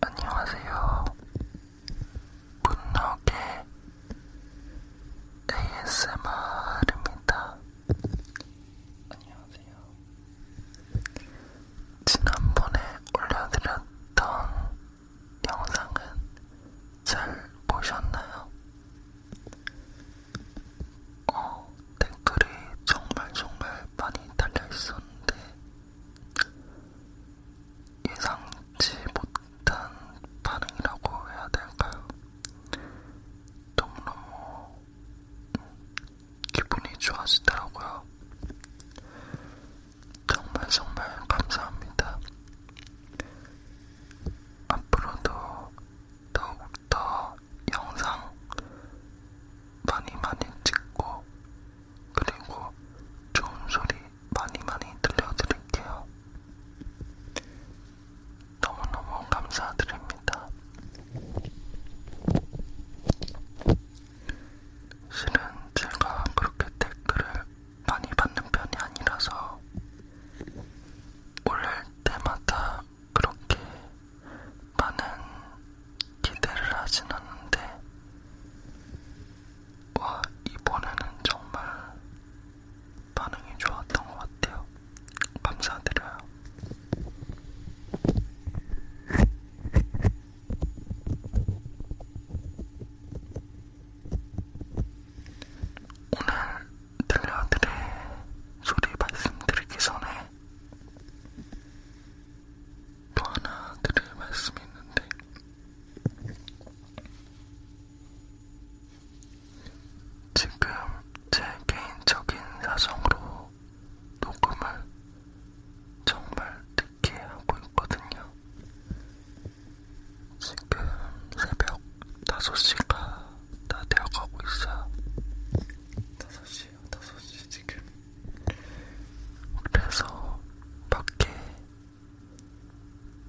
안녕하세요. 문너게 ASMR입니다. 안녕하세요. 지난번에 올려드렸던 영상은 잘 보셨나요? 어, 댓글이 정말 정말 많이 달려있었는데 예상치 못한 반응이라고 해야 될까요? 너무너무 기분이 좋아지더라고요. 정말 정말 감사합니다. 앞으로도 더욱더 영상 많이 많이 찍고 그리고 좋은 소리 많이 많이 들려드릴게요. 너무너무 감사드립니다. 실은 제가 그렇게 댓글을 많이 받는 편이 아니라서 올릴 때마다 그렇게 많은 기대를 하진 않는데, 와, 이번에는 정말 반응이 좋았던 것 같아요. 감사드려요. 오늘 들려드릴 소리 말씀드리기 전에 또 하나 드릴 말씀이 있는데 지금 제 개인적인 사정으로 녹음을 정말 늦게 하고 있거든요. 지금 새벽 5시가 다 되어가고 있어요. 5시 지금 5시 지금 그래서 밖에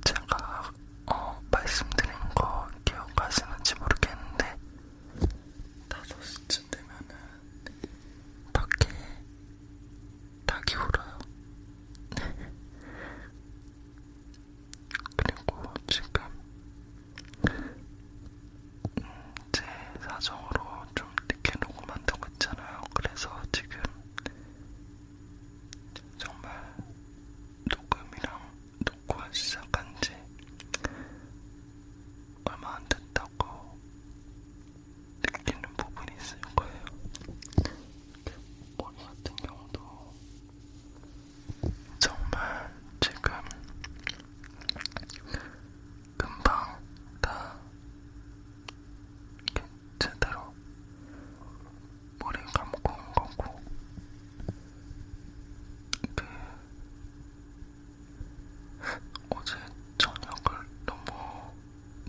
제가 어, 말씀드린 거 기억하시는지 모르겠는데 5시쯤 되면은 밖에 닭이 울어요 그리고 지금 제 사정으로 좀 늦게 녹음한다고 했잖아요. 그래서 지금 정말 녹음이랑 녹화 시작한 지 얼마 안 됐다고 느끼는 부분이 있을 거예요. 머리 같은 경우도 정말 지금 금방 다 이렇게 제대로 머리 감고 온 거고 그 어제 저녁을 너무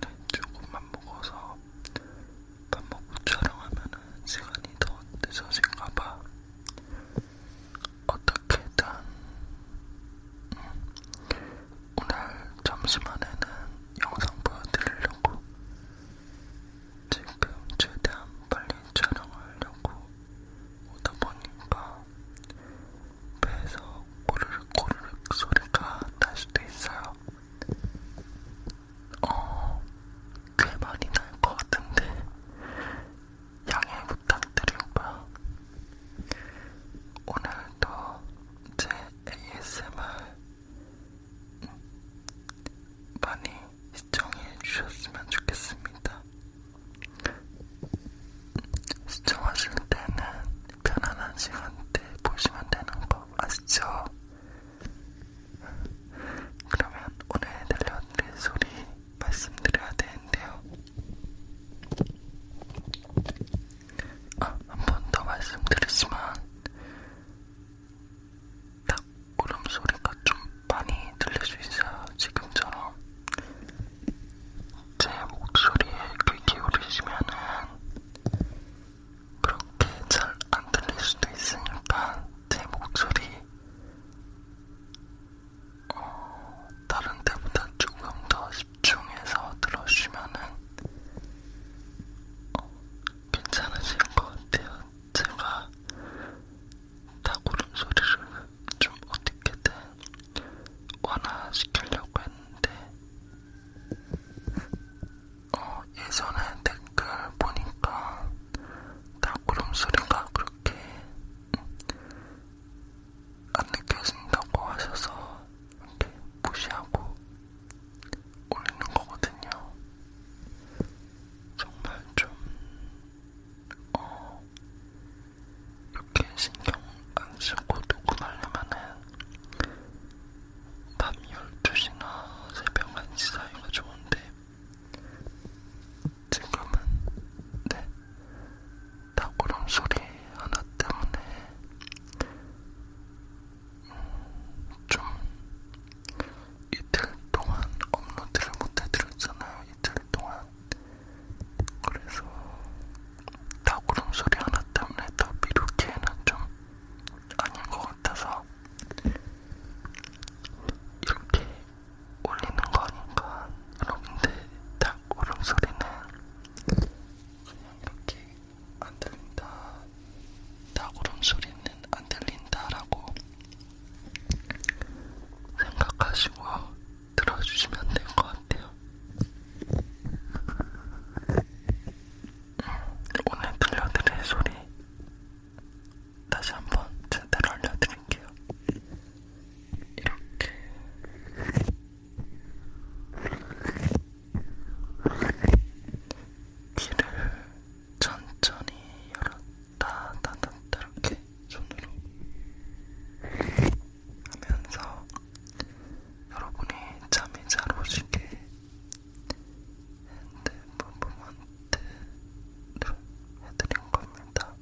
네, 조금만 먹어서 밥 먹고 촬영하면 시간이 더 늦어질까봐 어떻게든 음, 오늘 점심안에는 영상 보여드리려고 지금 최대한 빨리 촬영하려고 오다 보니까 배에서 꼬르륵 꼬르륵 소리가 날 수도 있어요. 어, 꽤 많이 날 것 같은데 양해 부탁드리고요. 오늘도 제 ASMR 많이 시청해 주셨으면 좋겠습니다. 시청하실 때는 편안한 시간대 보시면 되는 거 아시죠? 그러면 오늘 들려드릴 소리 말씀드려야 되는데요. 아, 한번 더 말씀드리지만 딱 울음소리가 좀 많이 들릴 수 있어요. 지금처럼 제 목소리에 귀 기울이시면은 그렇게 잘안 들릴 수도 있으니까 제 목소리 어, 다른 때보다 조금 더 집중해서 들어주면은 어, 괜찮으실 것 같아요. 제가 다구름 소리를 좀 어떻게든 완화시키려고 했는데 어, 예전에 댓글 보니까 다구름 소리가 그렇게 안 느껴진다고 하셔서 이렇게 무시하고 올리는 거거든요. 정말 좀, 어, 이렇게 신경 안 쓰고 녹음하려면은 밤 12시나 새벽 1시 사이가 좋은데 지금은 네 닭구름 소리 하나 때문에 음, 좀 이틀 동안 업로드를 못해드렸잖아요. 이틀 동안 그래서 닭구름 소리 하나 때문에 더 미루기에는 좀 아닌 것 같아서 이렇게 올리는 거니까 여러분들 딱 울음소리는 그냥 이렇게 안 들린다 딱 울음소리는 안 들린다라고 생각하시고 들어주시면 될 것 같아요 음, 오늘 들려드릴 소리 다시 한번 제대로 알려드릴게요. 이렇게 귀를 천천히 열었다 닫았다 이렇게 손으로 하면서 여러분이 잠이 잘 오시게 핸드폰 부분한테 해드린 겁니다.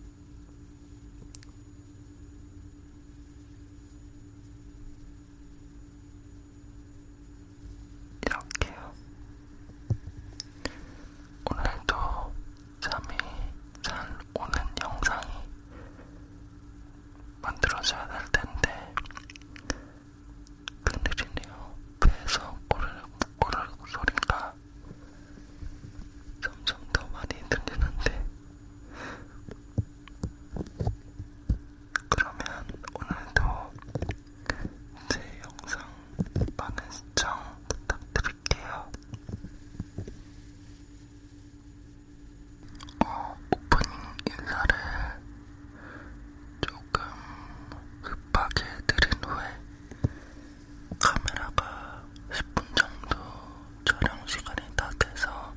이렇게요. 오늘도 잠이 잘 오는 영상이 만들어져야 될 텐데, 큰일이네요. 배에서 꼬르륵 꼬르륵 소리가 점점 더 많이 들리는데 그러면 오늘도 제 영상 많은 시청 부탁드릴게요. 어, 오프닝 인사를 조금 급하게 드린 후에 카메라가 10분 정도 촬영 시간이 다 돼서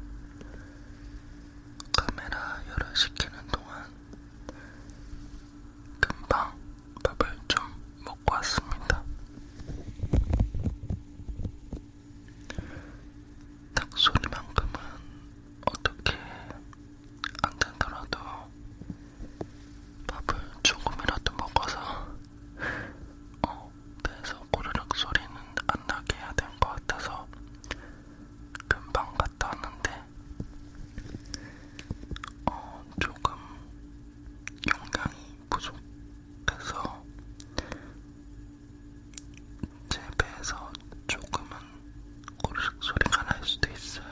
카메라 열을 시키는 동안 금방 밥을 좀 먹고 왔습니다. 닭소리만큼은 어떻게 안 되더라도 밥을 조금이라도 먹어서 어, 배에서 꼬르륵 소리는 안 나게 해야 될것 같아서 금방 갔다 왔는데 어, 조금 용량이 부족해서 제 배에서 조금은 꼬르륵 소리가 날 수도 있어요.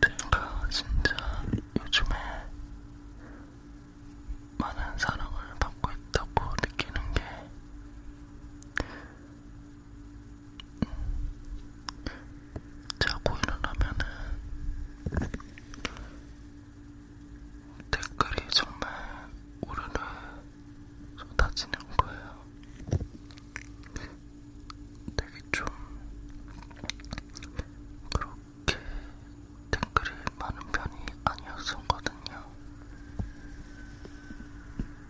제가 진짜 요즘에 많은 사랑을 받고 있다고 느끼는 게 음, 자고 일어나면은 댓글이 정말 오르르 쏟아지는 거예요. 되게 좀 그렇게 댓글이 많은 편이 아니었었거든요.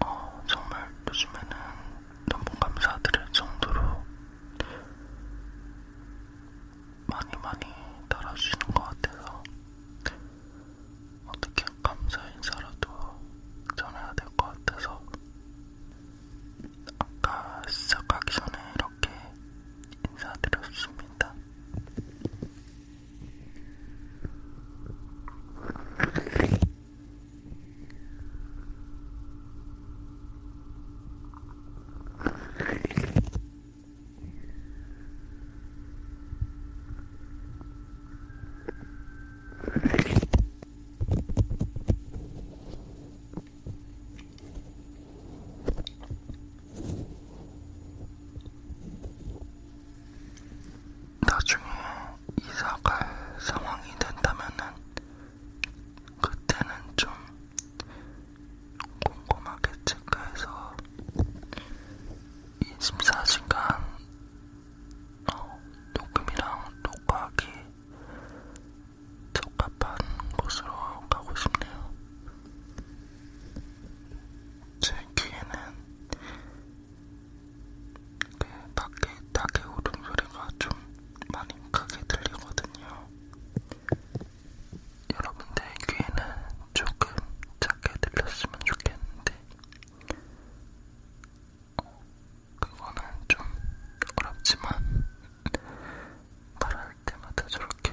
어, 정말 요즘에는 너무 감사드릴 정도로 많이 많이 달아주시는 것 같아서 어떻게 감사 인사라도 전해야 될 것 같아서 아까 시작하기 전에 이렇게 인사드렸습니다. 나중에 이사갈 상황이 된다면은 그때는 좀 꼼꼼하게 체크해서 24시간 어, 녹음이랑 녹화하기 적합한 곳으로 가고 싶네요. 제 귀에는 그 밖에 닭의 울음소리가 좀 많이 크게 들리거든요. 여러분들 귀에는 조금 작게 들렸으면 좋겠는데 있는데 어, 그거는 좀 어렵지만 말할 때마다 저렇게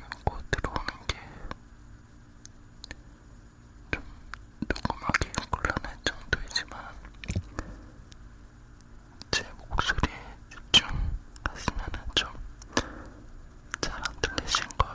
들고 들어오는 게 좀 녹음하기 곤란할 정도이지만 제 목소리에 집중하시면은 좀 잘안 들리신 거예요.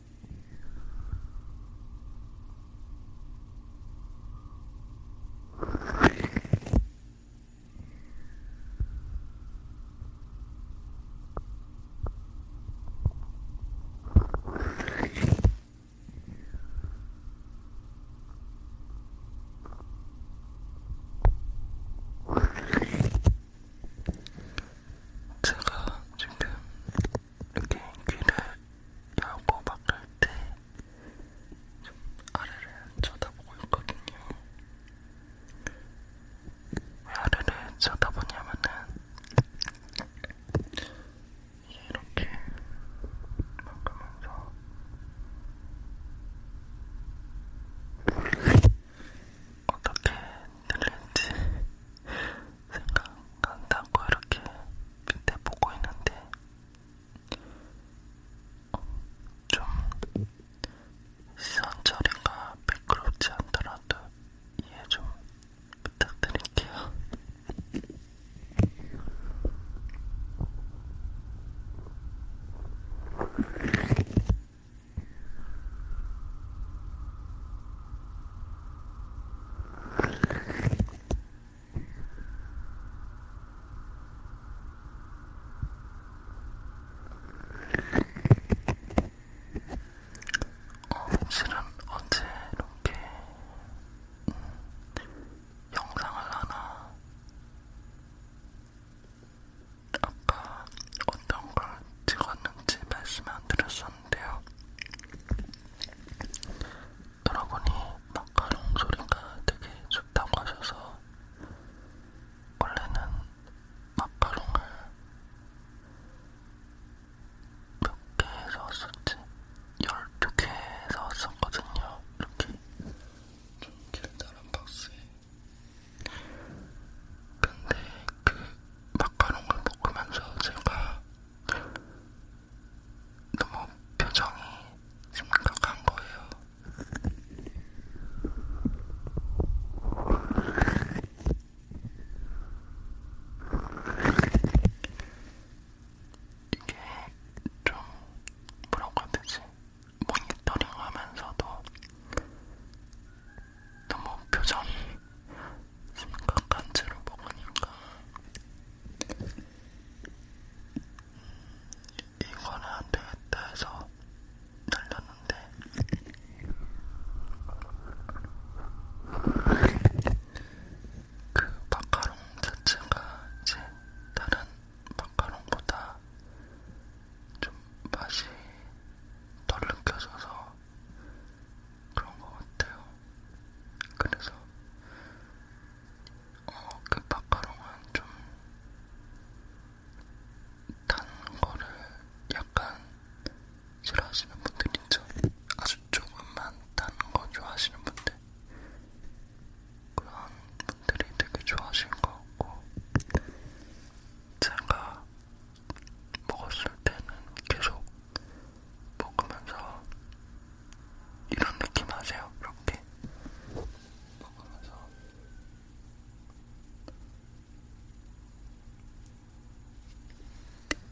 제가 지금 이렇게 귀를 열고 막을 때좀 아래를 쳐다보고 있거든요. 왜 아래를 쳐다보냐면은 이렇게 막으면서 어떻게 들릴지 생각한다고 이렇게 밑에 보고 있는데 어, 좀 시선 처리가 매끄럽지 않더라도 이해 좀 부탁드릴게요. 어, 실은 언제 이렇게 음, 영상을 하나 아까 어떤 걸 찍었는지 말씀 안 드렸었는데요. 여러분이 마카롱 소리가 되게 좋다고 하셔서 원래는 마카롱을 몇개 사왔었지? 12개 사왔었거든요. 이렇게 좀 길다란 박스에. 근데 그 마카롱을 먹으면서 제가 너무 표정이 심각한 거예요. 이게 좀 뭐라고 해야 되지? 모니터링 하면서도 너무 표정이 생각한 채로 먹으니까 이거는 안 되겠다 해서 날렸는데 그 마카롱 자체가 이제 다른 마카롱보다 좀 맛이 덜 느껴져서 그런 것 같아요. 그래서 어, 그 마카롱은 좀단 거를 약간 싫어하시는 분들 있죠. 아주 조금만 단 거 좋아하시는 분들. 그런 분들이 되게 좋아하실 것 같고 제가 먹었을 때는 계속 먹으면서 이런 느낌 아세요? 이렇게 먹으면서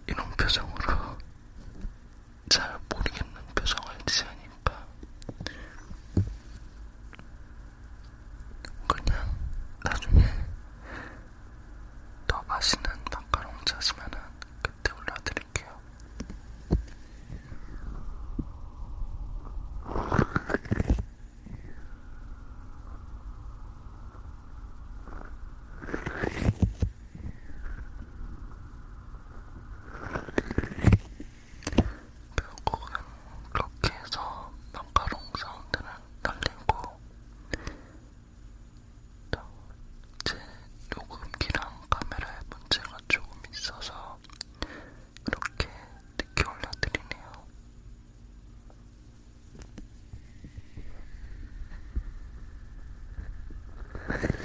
이런 표정으로 잘 모르겠는 표정을 지으니까 그냥 나중에 더 맛있는 마카롱 찾으면은 그때 올려드릴게요. 결국은 그렇게 해서 마카롱 사운드는 날리고 제 녹음기랑 카메라에 문제가 조금 있어서 이렇게 늦게 올려드리네요.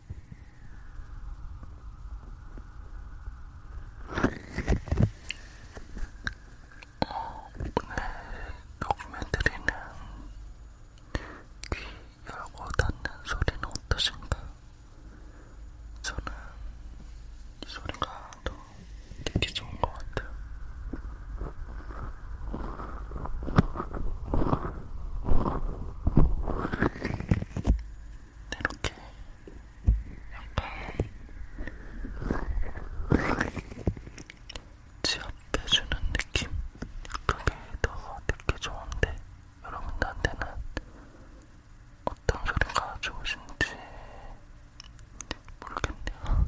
오늘 녹음해드리는 귀 열고 닫는 소리는 어떠신가? 저는 이 소리가 더 듣기 좋은 것 같아요. 이렇게 약간 지압해주는 느낌? 그게 더 듣기 좋은데 여러분들한테는 어떤 소리가 좋으신지 모르겠네요.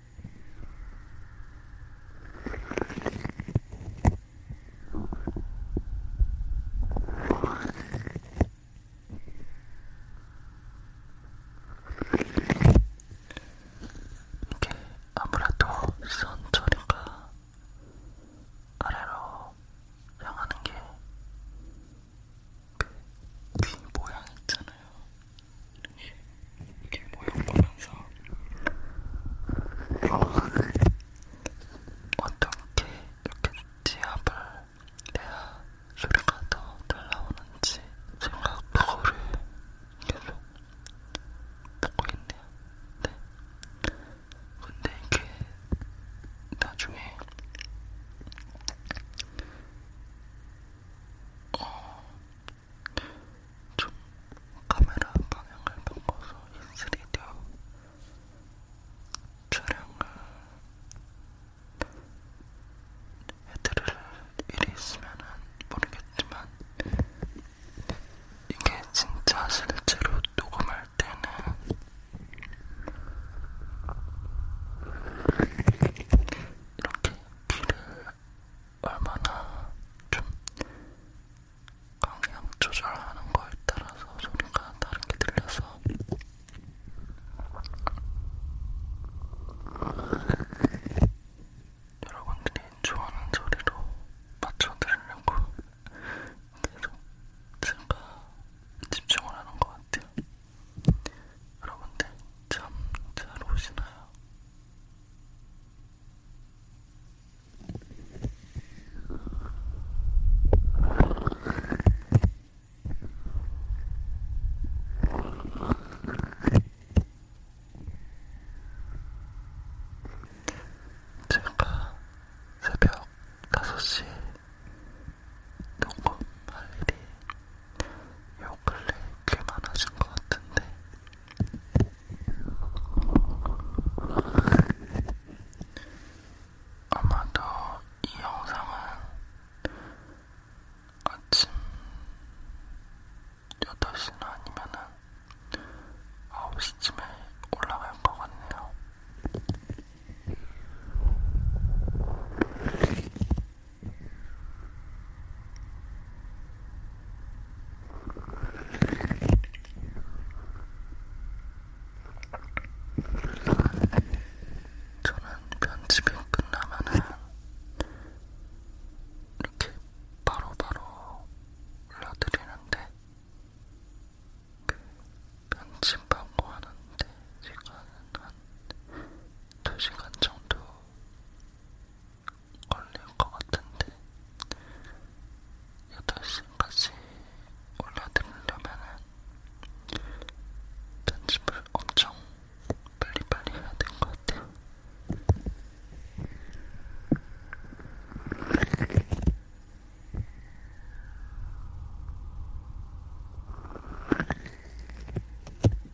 이게 아무래도 선 처리가 아래로 향하는 게귀 그 모양 있잖아요. 이렇게 모양 보면서 어떻게 이렇게 지압을 내야 소리가 더 잘 나오는지 생각 그거를 계속 듣고 있네요. 네. 근데 이게 나중에 어, 좀 카메라 방향을 바꿔서 이 3D 촬영을 해드릴 일이 있으면은 모르겠지만 이게 진짜 실제로 녹음할 때는 이렇게 귀를 얼마나 좀 강약 조절하는 거에 따라서 소리가 다르게 들려서 여러분들이 좋아하는 소리로 맞춰드리려고 계속 제가 집중을 하는 것 같아요. 여러분들 잠 잘 오시나요? 제가 새벽 5시 녹음할 일이 요 근래 꽤 많아진 것 같은데 아마도 이 영상은 아침 8시나 아니면은 9시쯤에 올라갈 것 같네요. 저는 편집이 끝나면은 이렇게 바로바로 올려드리는데 그 편집하고 하는데 시간은 한 2시간 정도 걸릴 것 같은데 8시까지 올려드리려면 편집을 엄청 빨리빨리 해야 될것 같아요.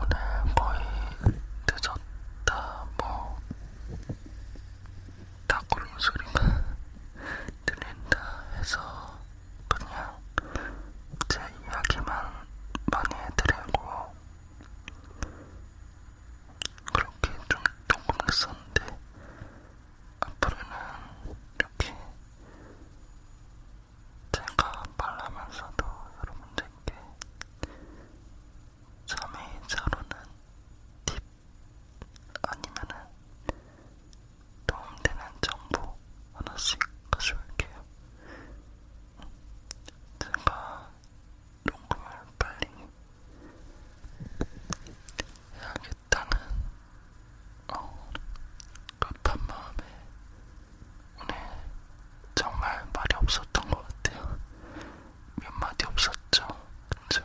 오늘 거의 늦었다 뭐 닭걸음 소리가 들린다 해서 그냥 제 이야기만 많이 해드리고 그렇게 좀 녹음했었는데 앞으로는 이렇게 제가 말하면서도 여러분들께 잠이 잘 오는 팁 아니면은 도움되는 정보 하나씩 가져올게요. 제가 녹음을 빨리 해야겠다는 어, 급한 마음에 오늘 정말 말이 없었던 것 같아요. 몇 마디 없었죠, 그쵸?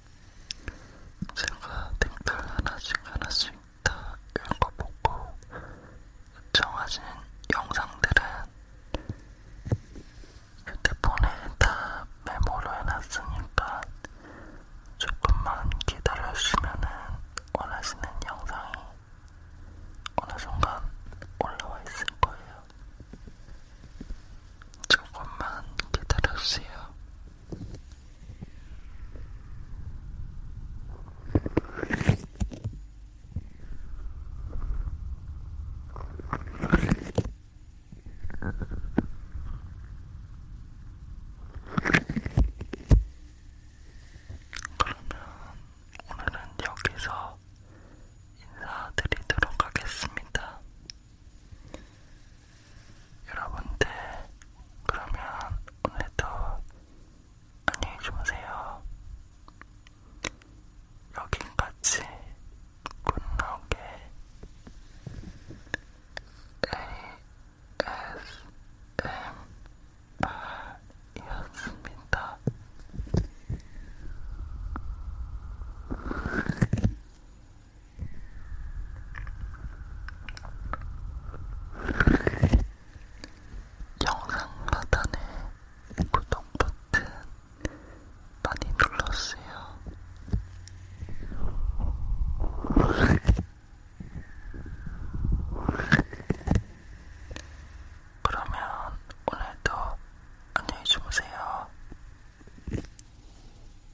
제가 댓글 하나씩 하나씩 다 읽어보고 요청하신 영상들은 휴대폰에 다 메모로 해놨으니까 조금만 기다려주시면 원하시는 영상이 어느 순간 올라와 있을 거예요. 조금만 기다려주세요. 그러면 오늘은 여기서 인사드리도록 하겠습니다. 여러분들 그러면 오늘도 안녕히 주무세요. 여긴까지 굿나오게 ASMR이었습니다. 영상 하단에 구독 버튼 많이 눌러주세요. 그러면 오늘도 안녕히 주무세요.